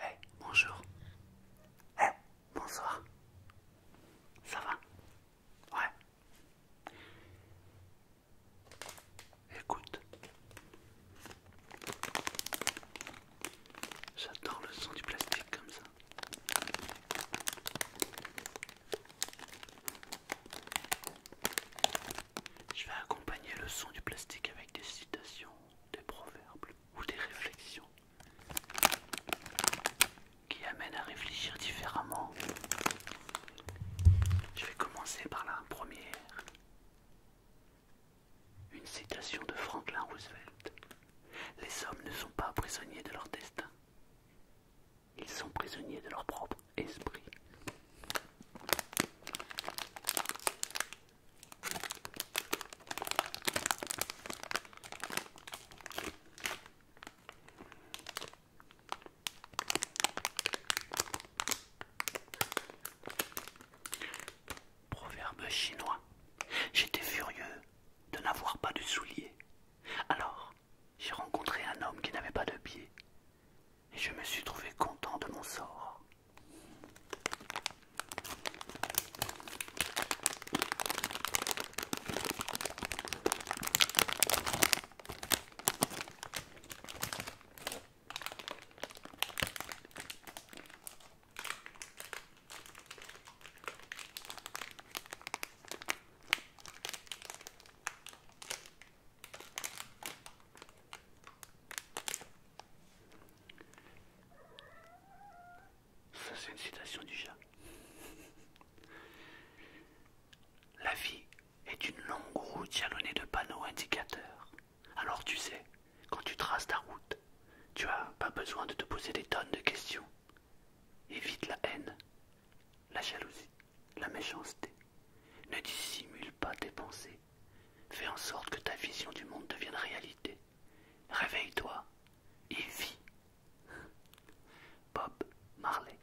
Hey, bonjour. Hey, bonsoir. Ça va Ouais. Écoute. J'adore le son du plastique comme ça. Je vais accompagner le son du plastique avec des citations, des proverbes ou des réflexions qui amènent à réfléchir différemment. Je vais commencer par la première. Une citation de Franklin Roosevelt. Les hommes ne sont pas prisonniers de leur destin. Ils sont prisonniers de leur propre esprit. Proverbe chinois. J'étais furieux de n'avoir pas de souliers. Alors, j'ai rencontré un homme qui n'avait pas de pieds et je me suis trouvé content de mon sort. Ça, c'est une citation du chat. La vie est une longue route jalonnée de panneaux indicateurs. Alors tu sais, quand tu traces ta route, tu as pas besoin de te poser des tonnes de questions. Évite la haine, la jalousie, la méchanceté. Ne dissimule pas tes pensées. Fais en sorte que ta vision du monde devienne réalité. Réveille-toi et vis. Bob Marley.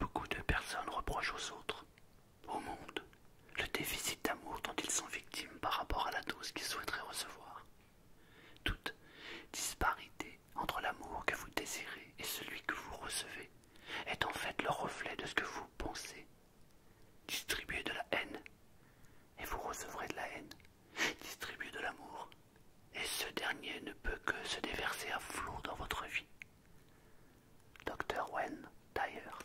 Beaucoup de personnes reprochent aux autres, au monde, le déficit d'amour dont ils sont victimes par rapport à la dose qu'ils souhaiteraient recevoir. Toute disparité entre l'amour que vous désirez et celui que vous recevez est en fait le reflet de ce que vous pensez. Distribuez de la haine et vous recevrez de la haine. Distribuez de l'amour et ce dernier ne peut que se déverser à flot dans votre vie. Dr. Wen d'ailleurs.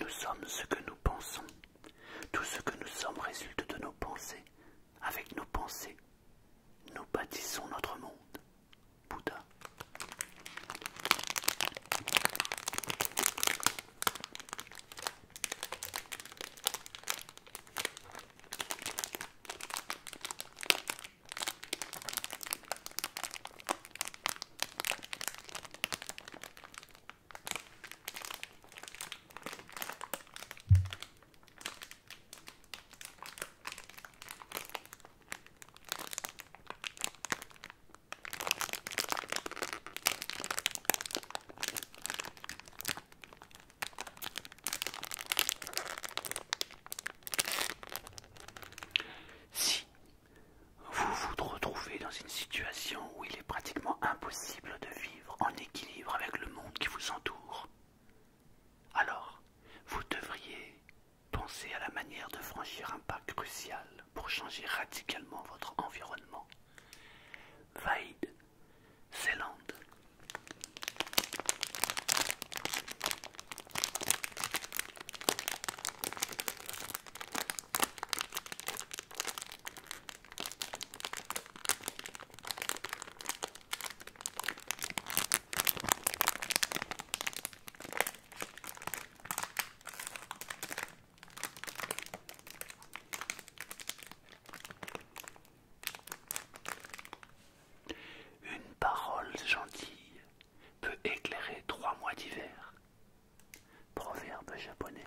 Nous sommes ce que nous pensons. Tout ce que nous sommes résulte de nos pensées. Avec nos pensées, nous bâtissons notre monde. Bouddha. Si vous vous retrouvez dans une situation où il est pratiquement impossible de vivre en équilibre avec le monde qui vous entoure, alors, vous devriez penser à la manière de franchir un pas crucial pour changer radicalement votre environnement. Une parole gentille peut éclairer trois mois d'hiver. Proverbe japonais.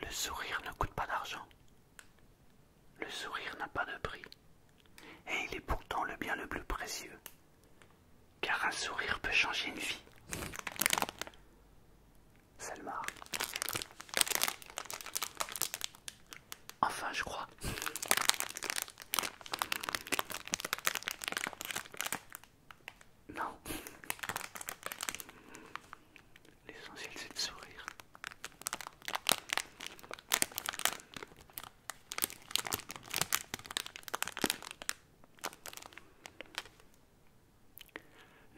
Le sourire ne coûte pas d'argent. Le sourire n'a pas de prix. Et il est pourtant le bien le plus précieux. Car un sourire peut changer une vie. Salmar. Enfin, je crois. Non. L'essentiel c'est de sourire.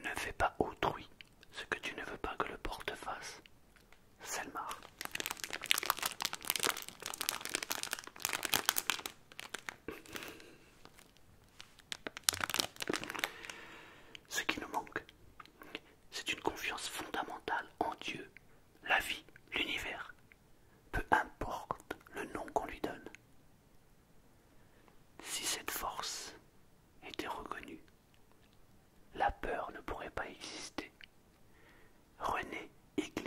Ne fais pas autrui ce que tu ne veux pas que le porte fasse. Selmar. Ce qui nous manque, c'est une confiance fondamentale en Dieu, la vie, l'univers, peu importe le nom qu'on lui donne. Si cette force était reconnue, la peur ne pourrait pas exister. René Église,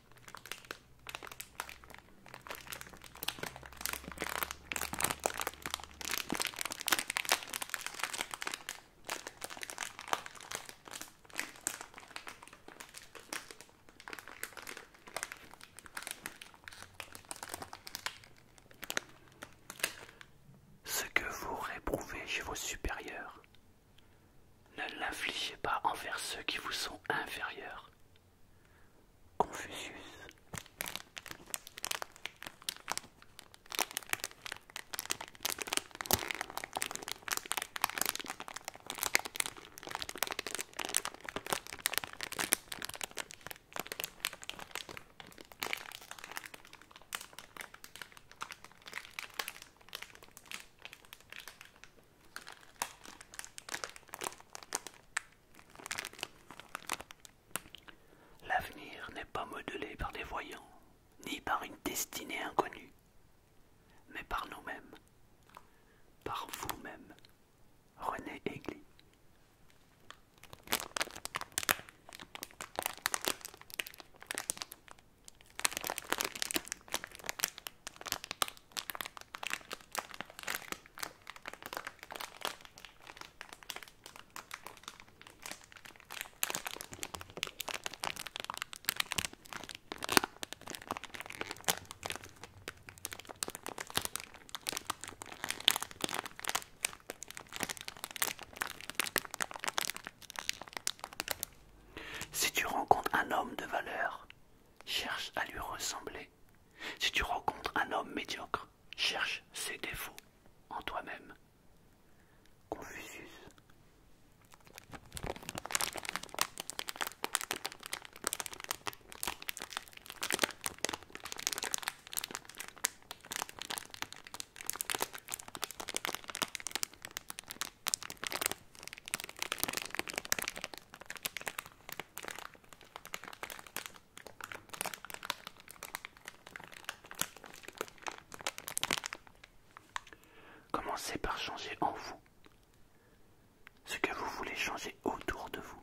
Ce que vous réprouvez chez vos supérieurs, ne l'infligez pas envers ceux qui vous sont inférieurs, Confucius. L'avenir n'est pas modelé par des voyants, ni par une destinée inconnue, mais par nous-mêmes, par vous-même, René Aigli. Si tu rencontres un homme de valeur, cherche à lui ressembler si tu rencontres un homme médiocre, cherche ses défauts en toi-même. Confucius. Commencez par changer en vous ce que vous voulez changer autour de vous.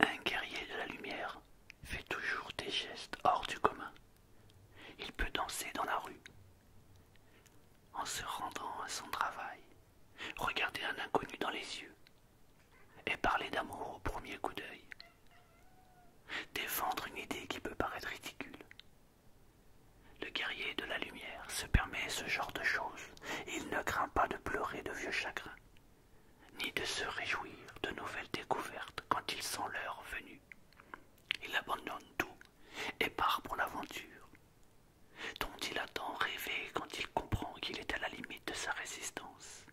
Un guerrier de la lumière fait toujours des gestes hors du commun. Il peut danser dans la rue, en se rendant à son travail, regarder un inconnu dans les yeux, et parler d'amour au premier coup d'œil, défendre une idée qui peut paraître ridicule. Le guerrier de la lumière se permet ce genre de choses, il ne craint pas de pleurer de vieux chagrins, ni de se réjouir de nouvelles découvertes quand il sent l'heure venue. Il abandonne tout et part pour l'aventure, dont il attend tant quand il comprend qu'il est à la limite de sa résistance.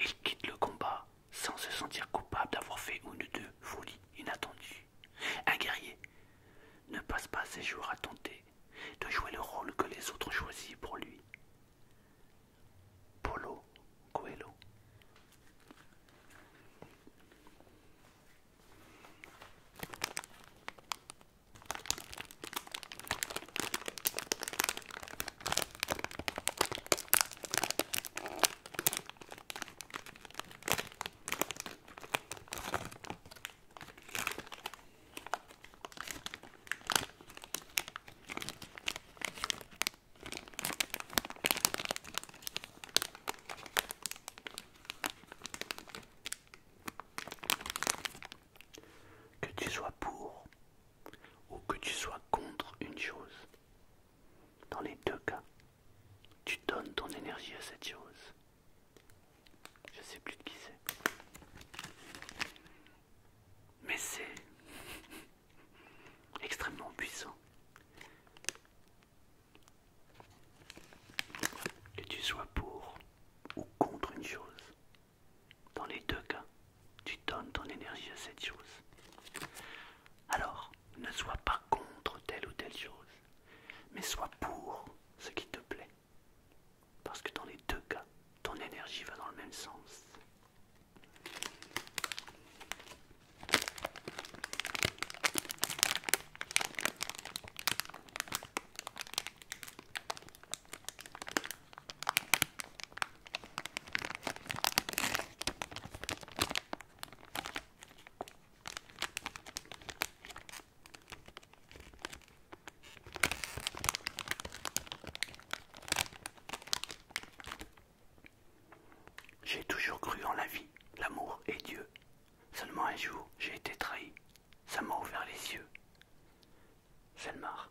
Il quitte le combat sans se sentir coupable d'avoir fait une ou deux folies inattendues. Un guerrier ne passe pas ses jours à tenter de jouer le rôle que les autres choisissent pour lui. Polo Coelho. Que tu sois pour ou que tu sois contre une chose. Dans les deux cas, tu donnes ton énergie à cette chose. Je ne sais plus de qui c'est. Mais c'est extrêmement puissant. Que tu sois pour ou contre une chose, dans les deux cas, tu donnes ton énergie à cette chose. Alors, ne sois pas contre telle ou telle chose, mais sois pour ce qui te plaît. Parce que dans les deux cas, ton énergie va dans le même sens. J'ai toujours cru en la vie, l'amour et Dieu. Seulement un jour, j'ai été trahi. Ça m'a ouvert les yeux. Selmar.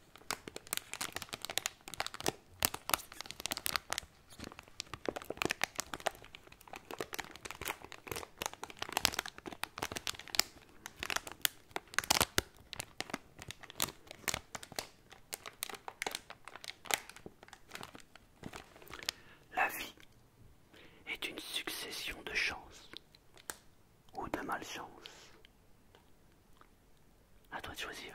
La vie est une succession de chances ou de malchances. À toi de choisir.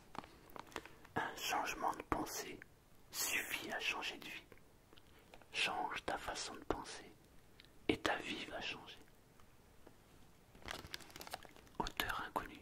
Un changement de pensée suffit à changer de vie. Change ta façon de penser et ta vie va changer. Auteur inconnu.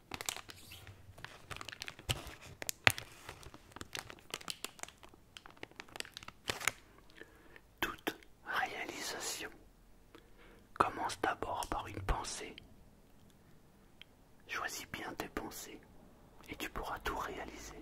Toute réalisation commence d'abord par une pensée. Choisis bien tes pensées et tu pourras tout réaliser.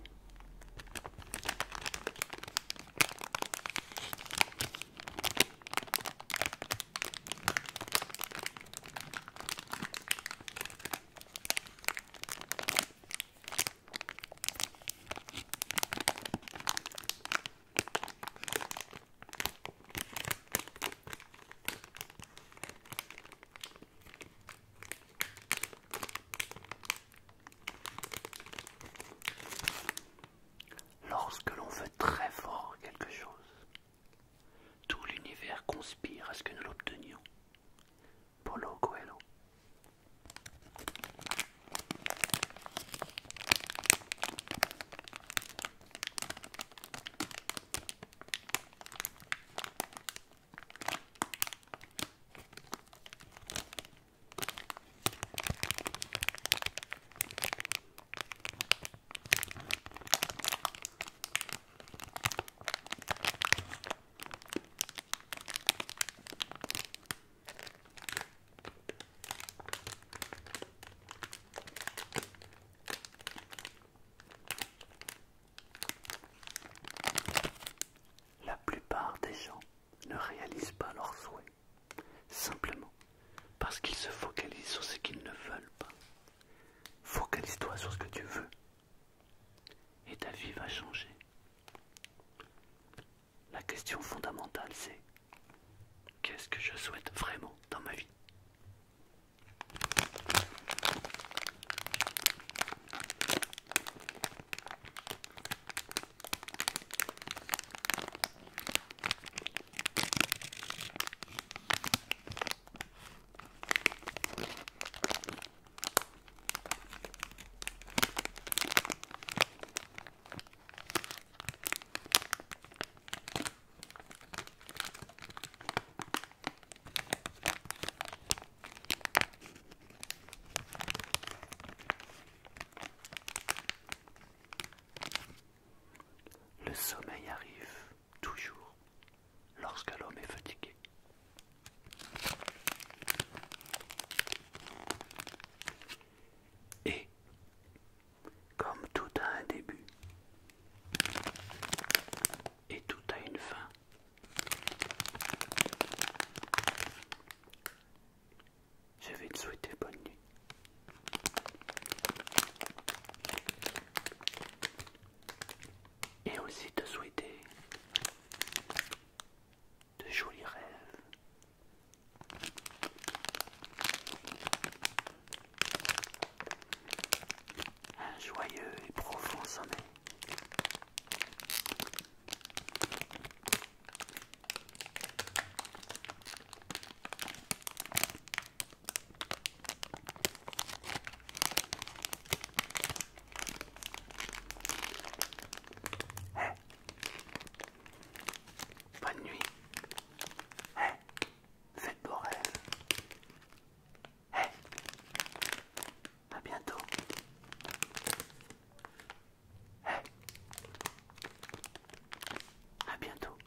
Lorsque l'on veut très fort quelque chose, tout l'univers conspire à ce que nous l'obtenions. La plupart des gens ne réalisent pas leurs souhaits, simplement parce qu'ils se focalisent sur ce qu'ils ne veulent pas. Focalise-toi sur ce que tu veux. Et ta vie va changer. La question fondamentale, c'est qu'est-ce que je souhaite vraiment dans ma vie le sommeil arrive toujours lorsque l'homme est fatigué. Et comme tout a un début et tout a une fin, je vais te souhaiter bonne nuit et aussi te souhaiter de jolis rêves. Un joyeux et profond sommeil pas Bonne nuit. Hey. Faites beau rêve. Hey. À bientôt. Hey. À bientôt.